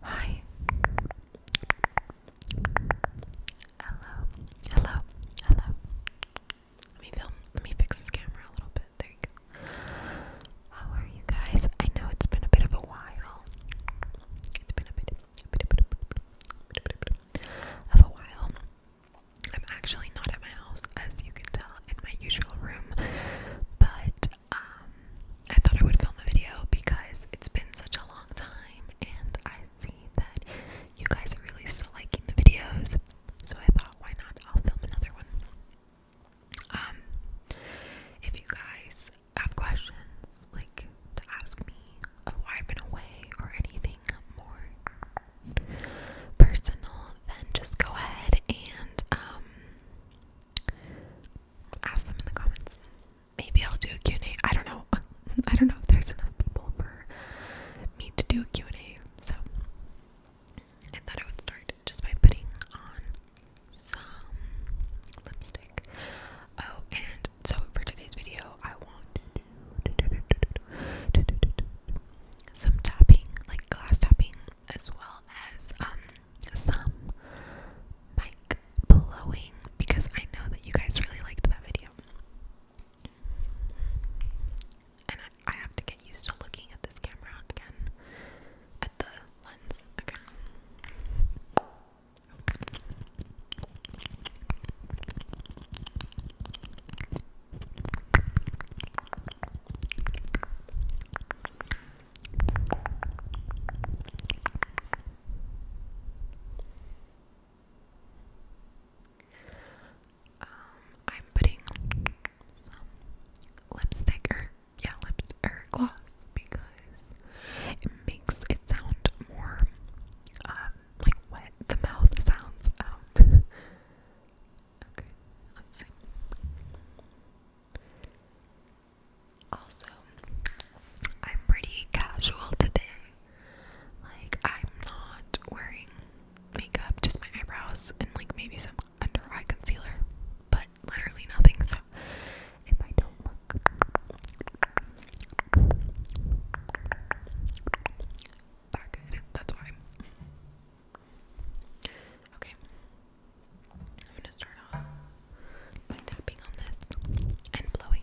Hi. Hello. Hello. Hello. Let me film. Let me fix this camera a little bit. There you go. How are you guys? I know it's been a bit of a while. It's been a bit, of a while. I'm actually not at my house, as you can tell, in my usual room, but um, I thought I would film a video because it's been such a long time and I see that you guys are really still liking the videos. So I thought, why not? I'll film another one. Um, if you guys have questions, like to ask me of why I've been or anything more personal, then just go ahead and um, ask them in the comments. Maybe I'll do a Q&A. I don't know. I don't know if there's enough people for me to do a Q&A. So I thought I would start just by putting on some lipstick. Oh, and so for today's video, I want to do some tapping, like glass tapping as well as um some mic blowing because I know that you guys really liked that video. And I, have to get used to looking at this camera again, at the lens again. Um, I'm putting some lipstick or yeah, lipstick or gloss because it makes it sound more um, like wet. The mouth sounds out. let's see. Also, I'm pretty casual today. Like, I'm not wearing makeup, just my eyebrows and like maybe some under eye concealer, but literally nothing. So, if I don't look that good, that's why. Okay, I'm gonna start off by tapping on this and blowing.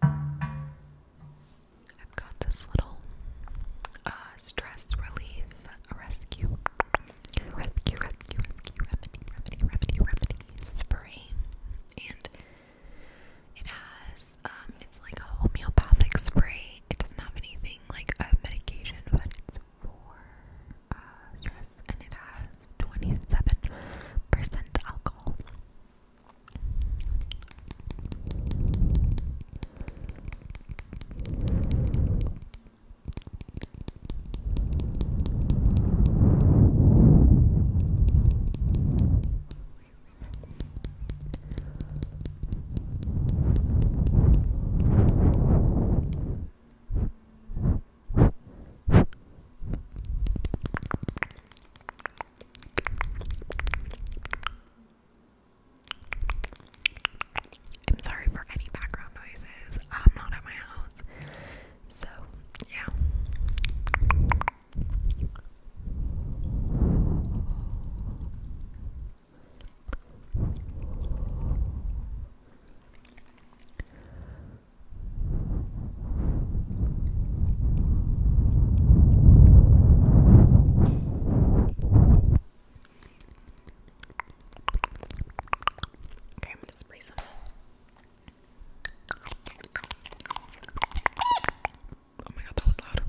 I've got this little uh, stress relief rescue spray, and it has um, it's like a homeopathic spray. It doesn't have anything like a medication, but it's for uh, stress, and it has twenty seven percent alcohol. I'm sorry for any background noises. I'm not at my house. So, yeah. Okay, I'm going to spray some Oh my god, that was loud.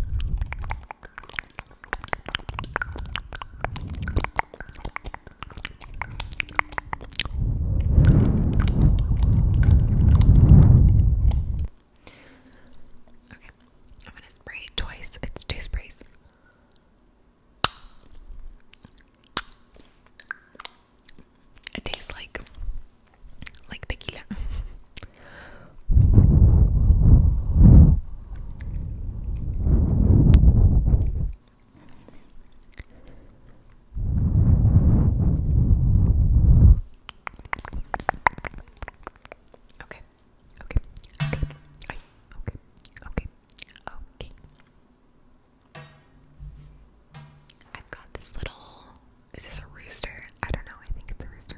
Okay, I'm gonna spray twice. It's two sprays. It tastes like like tequila. okay. Okay. Okay. okay. Okay. Okay. I've got this little. Is this a rooster? I don't know. I think it's a rooster.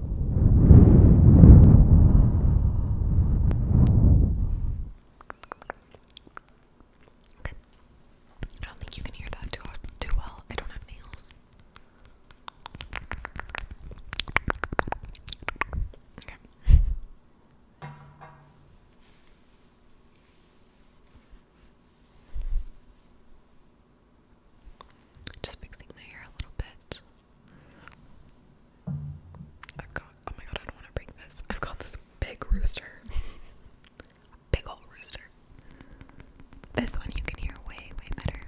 Okay. I don't think you can hear that too too well. I don't have nails. Okay. Just fixing my hair a little bit. I've got oh my god, I don't want to break this. I've got this big rooster. big old rooster. This one you can hear way, way better.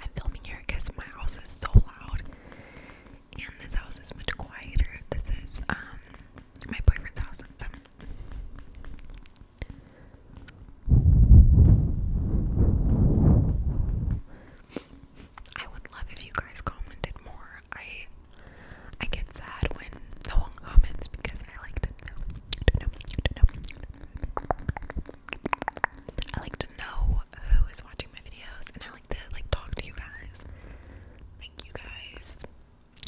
I'm filming here because my house is so loud and this house is much quieter. This is um my boyfriend's house. I would love if you guys commented more. I I get sad when no one comments because I like to know. who is watching my videos and I to like talk to you guys. Like you guys,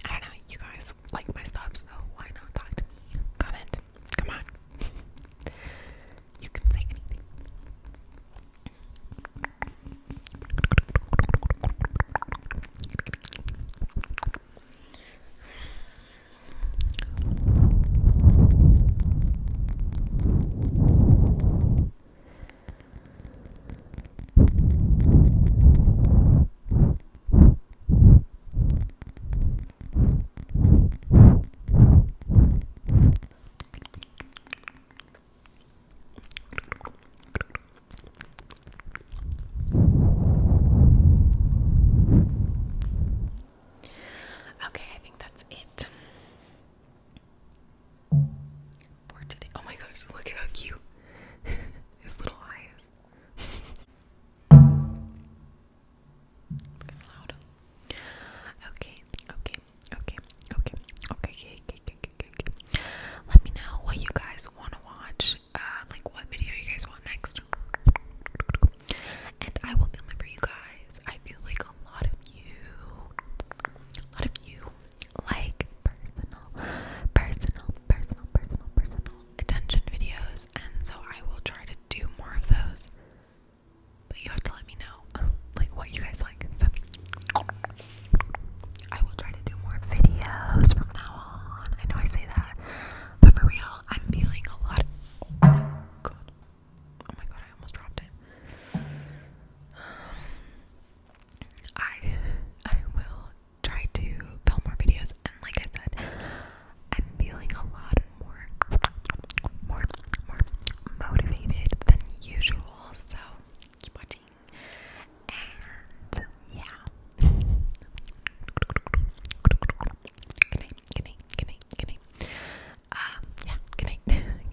I don't know. You guys like my stuff, so why not talk to me? Comment. Come on. you can say anything. Okay, I think that's it. Oh my gosh, look at how cute his little eyes. is. Okay, okay, okay, okay, okay, okay, okay, okay, Let me know what you guys want to watch, uh, like what video you guys want next. And I will film for you guys. I feel like a lot of you, a lot of you like personal, personal, personal, personal, personal attention videos, and so I will try to do more of those. But you have to let me know, like what you guys like. So I will try to do more videos from now on. I know I say that, but for real, I'm feeling a lot. Of, oh my god! Oh my god! I almost dropped it. I I will try to film more videos and like I said, I'm feeling a lot more more more motivated than usual, so keep watching. And yeah.